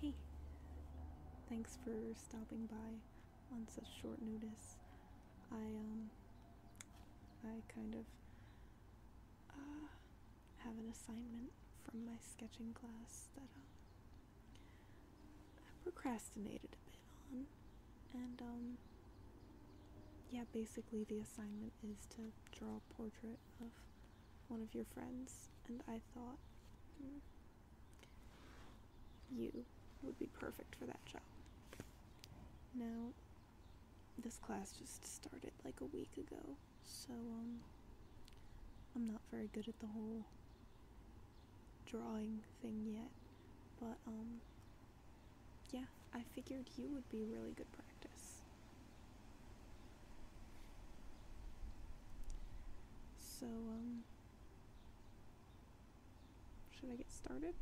Hey, thanks for stopping by on such short notice. I, um, I kind of uh, have an assignment from my sketching class that um, I procrastinated a bit on. And, um, yeah, basically the assignment is to draw a portrait of one of your friends, and I thought hmm, you would be perfect for that job. Now, this class just started like a week ago, so um, I'm not very good at the whole drawing thing yet, but um, yeah, I figured you would be really good practice. So, um, should I get started?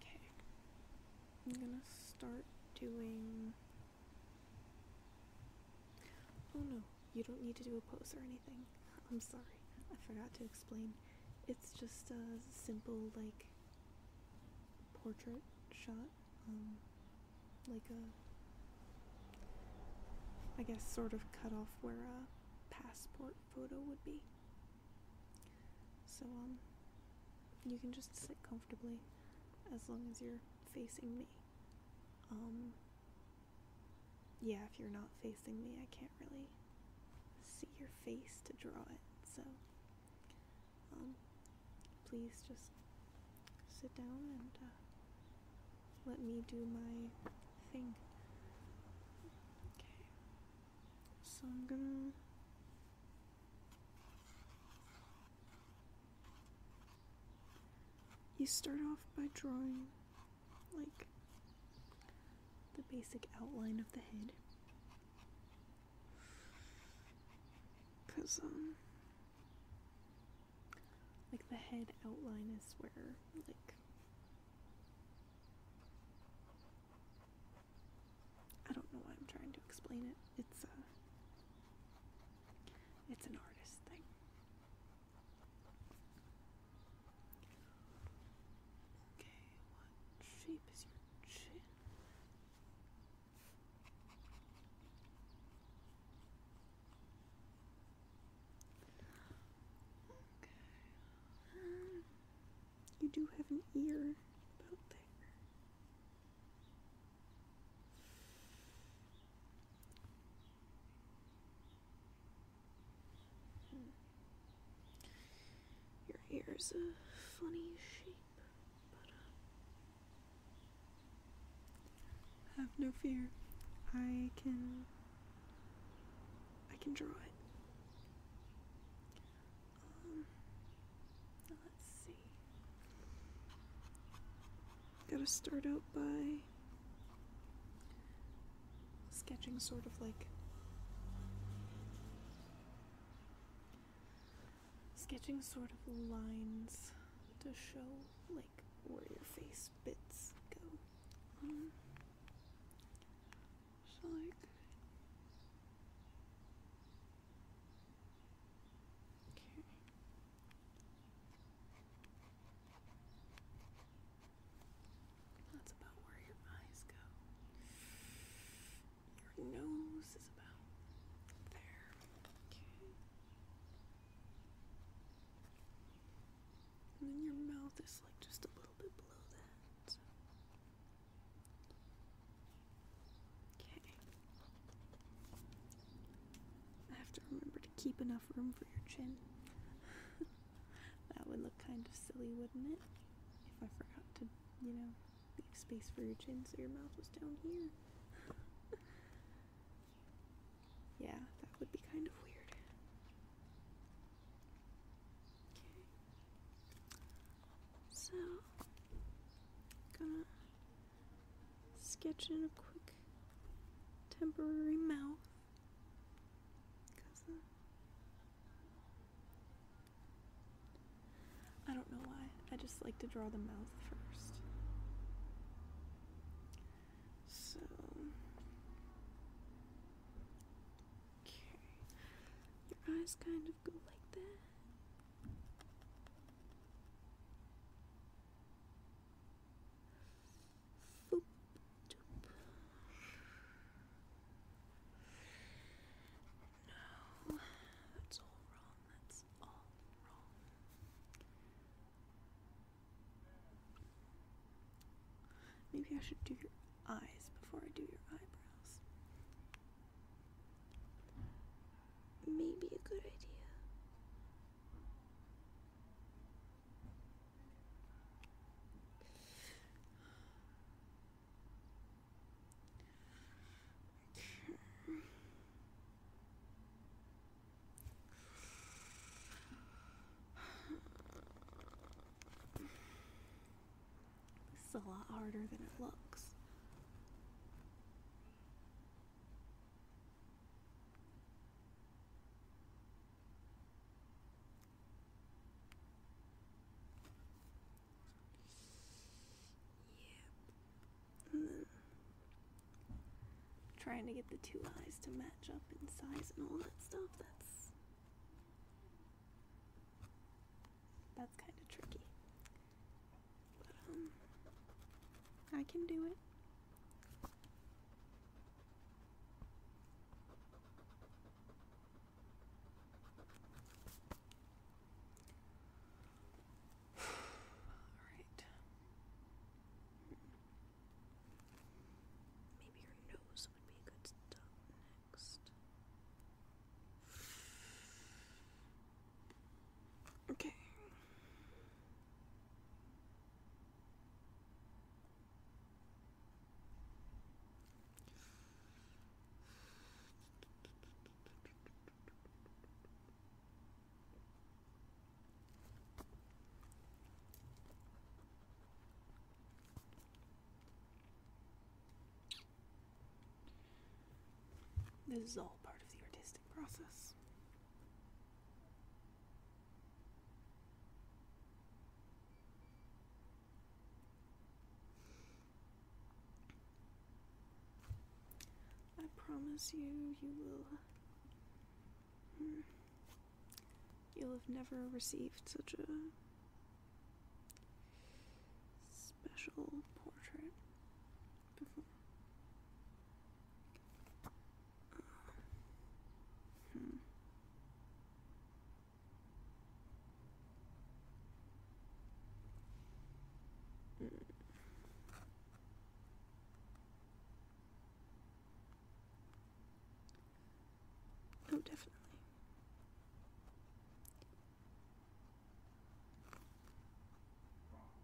Okay. I'm gonna start doing. Oh no, you don't need to do a pose or anything. I'm sorry, I forgot to explain. It's just a simple, like, portrait shot, um, like a, I guess, sort of cut off where a passport photo would be. So, um, you can just sit comfortably as long as you're facing me. Um, yeah, if you're not facing me, I can't really see your face to draw it, so um, please just sit down and uh, let me do my thing. Okay, so I'm gonna. You start off by drawing like the basic outline of the head. Because, um, like the head outline is where, like, I don't know why I'm trying to explain it. It's a, uh, it's an artist thing. Okay, what shape is your chin? Okay. you do have an ear about there. Your hair is a funny shape, but uh, have no fear. I can I can draw it. Um, let's see. Gotta start out by sketching sort of like sketching sort of lines to show like where your face bits go. Mm-hmm. so like Okay. That's about where your eyes go. Your nose is about there. Okay. And then your mouth is like just a little bit below that. Okay. I have to remember to keep enough room for your chin. that would look kind of silly, wouldn't it? if I forgot to, you know, leave space for your chin so your mouth was down here. yeah, that would be kind of weird. Okay. So, gonna sketch in a quick temporary mouth because I don't know why. I just like to draw the mouth first. So, okay. Your eyes kind of go like that no, that's all wrong. That's all wrong. Maybe I should do your eyes before I do your eyebrows. Maybe a good idea. This is a lot harder than it looks. Yeah. trying to get the two eyes to match up in size and all that stuff, that's that's kind of tricky. But um I can do it. All right. Maybe your nose would be a good stop next. Okay. This is all part of the artistic process. I promise you, you will. Hmm, you'll have never received such a special portrait before. Hmm. Oh, definitely.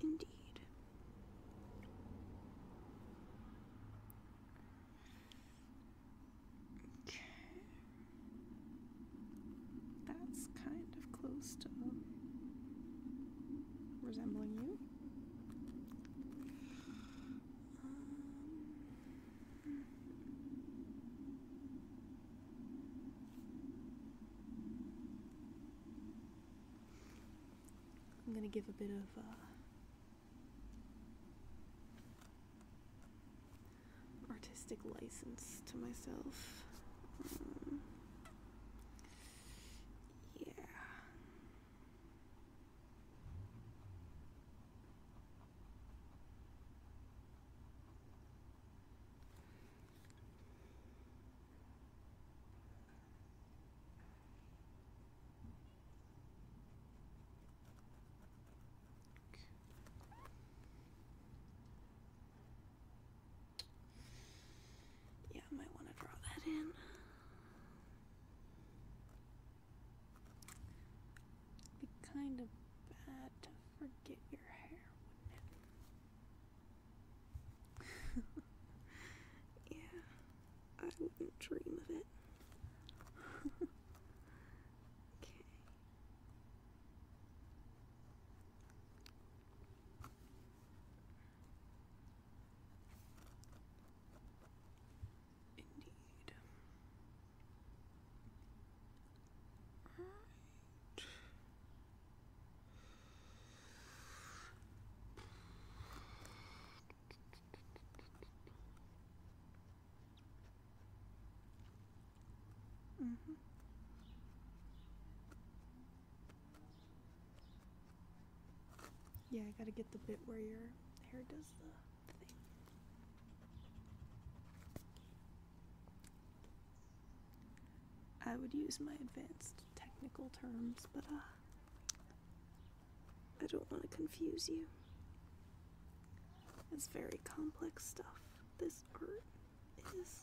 Indeed. Okay. That's kind of close to resembling you. Um, I'm going to give a bit of uh, artistic license to myself. Um, yeah. Yeah, I might want to draw that in. It'd be kind of bad to forget your hair, wouldn't it? yeah, I wouldn't dream of it. okay. Indeed. Right. Mm Yeah, I gotta get the bit where your hair does the thing. I would use my advanced technical terms, but uh, I don't want to confuse you. It's very complex stuff. This art is.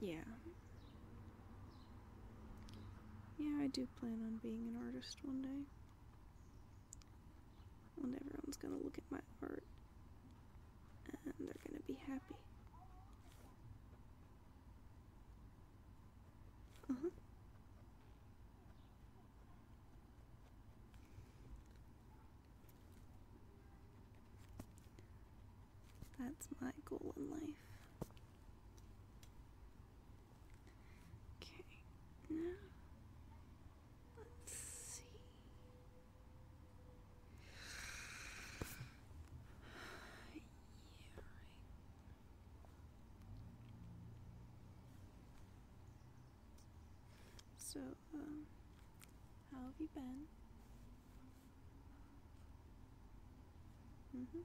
Yeah. Yeah, I do plan on being an artist one day. When everyone's gonna look at my art and they're gonna be happy. Uh huh. That's my goal in life. Okay, now let's see. Yeah, right. So, um, how have you been? Mm-hmm.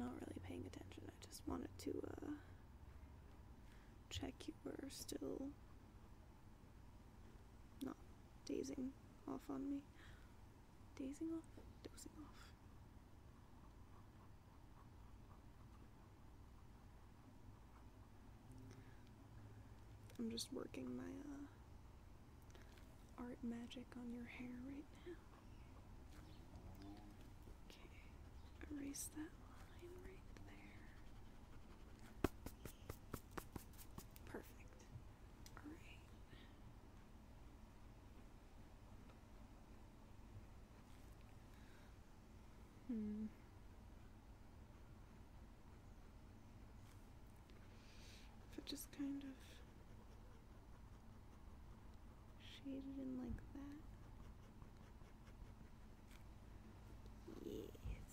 Not really paying attention. I just wanted to uh, check you were still not dazing off on me. Dazing off? Dozing off. I'm just working my uh, art magic on your hair right now. Okay, erase that line right there. Perfect. Alright. Hmm. If but just kind of shaded in like that. Yes.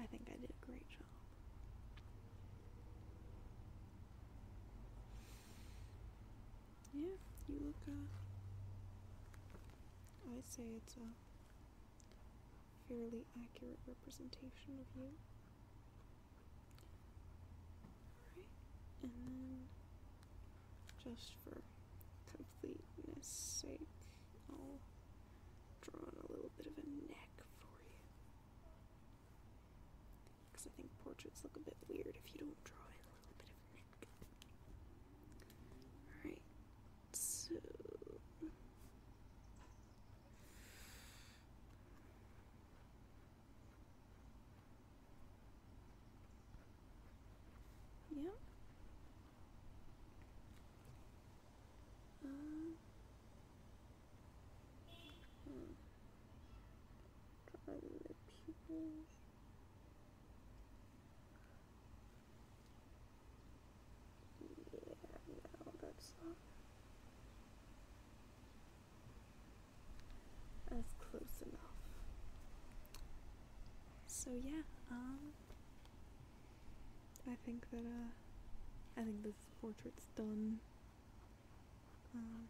I think I did a great job yeah, you look, uh, i say it's a fairly accurate representation of you. and then just for completeness sake, I'll draw a little bit of a neck for you because I think portraits look a bit weird if you don't draw in a little bit of Alright, so. Yeah. Um, yeah, no, that's not. That's close enough. So yeah, um, I think that uh, I think this portrait's done. Um,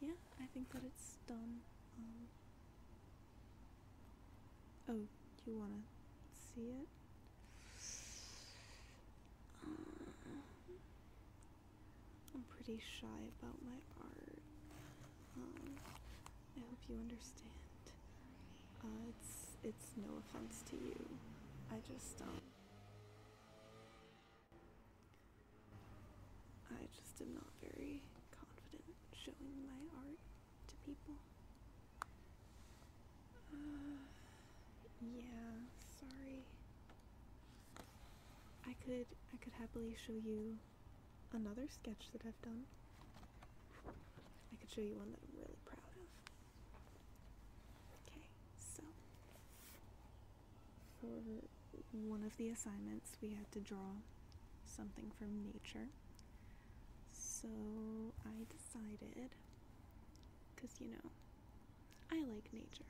yeah, I think that it's done. Um, oh, do you want to see it? Um, I'm pretty shy about my art. I hope you understand. Uh, it's it's no offense to you. I just don't. I just am not very confident showing my art to people. Uh, yeah, sorry. I could I could happily show you another sketch that I've done. I could show you one that I'm really proud of. Okay, so for one of the assignments, we had to draw something from nature. So I decided, because you know, I like nature.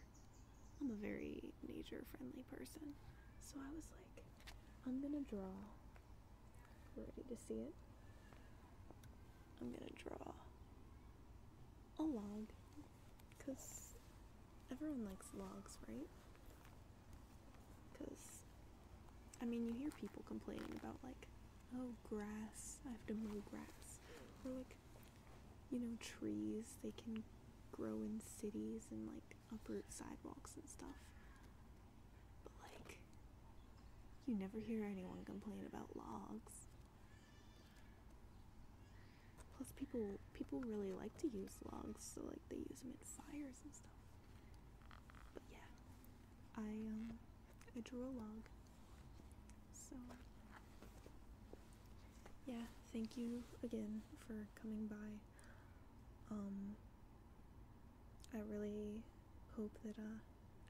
I'm a very nature friendly person. So I was like, I'm gonna draw. Ready to see it? I'm gonna draw a log because everyone likes logs, right? Because, I mean, you hear people complaining about, like, oh, grass, I have to mow grass. Or, like, you know, trees, they can grow in cities and, like, uproot sidewalks and stuff. But, like, you never hear anyone complain about logs. Plus people people really like to use logs, so like they use them in fires and stuff. But yeah. I um I drew a log. So yeah, thank you again for coming by. Um I really hope that uh,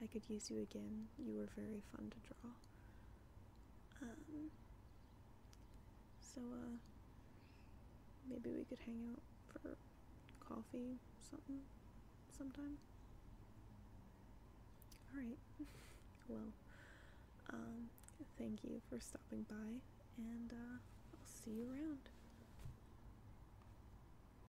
I could use you again. You were very fun to draw. Um, so, uh, maybe we could hang out for coffee, something, sometime. Alright, well, um, thank you for stopping by, and, uh, I'll see you around.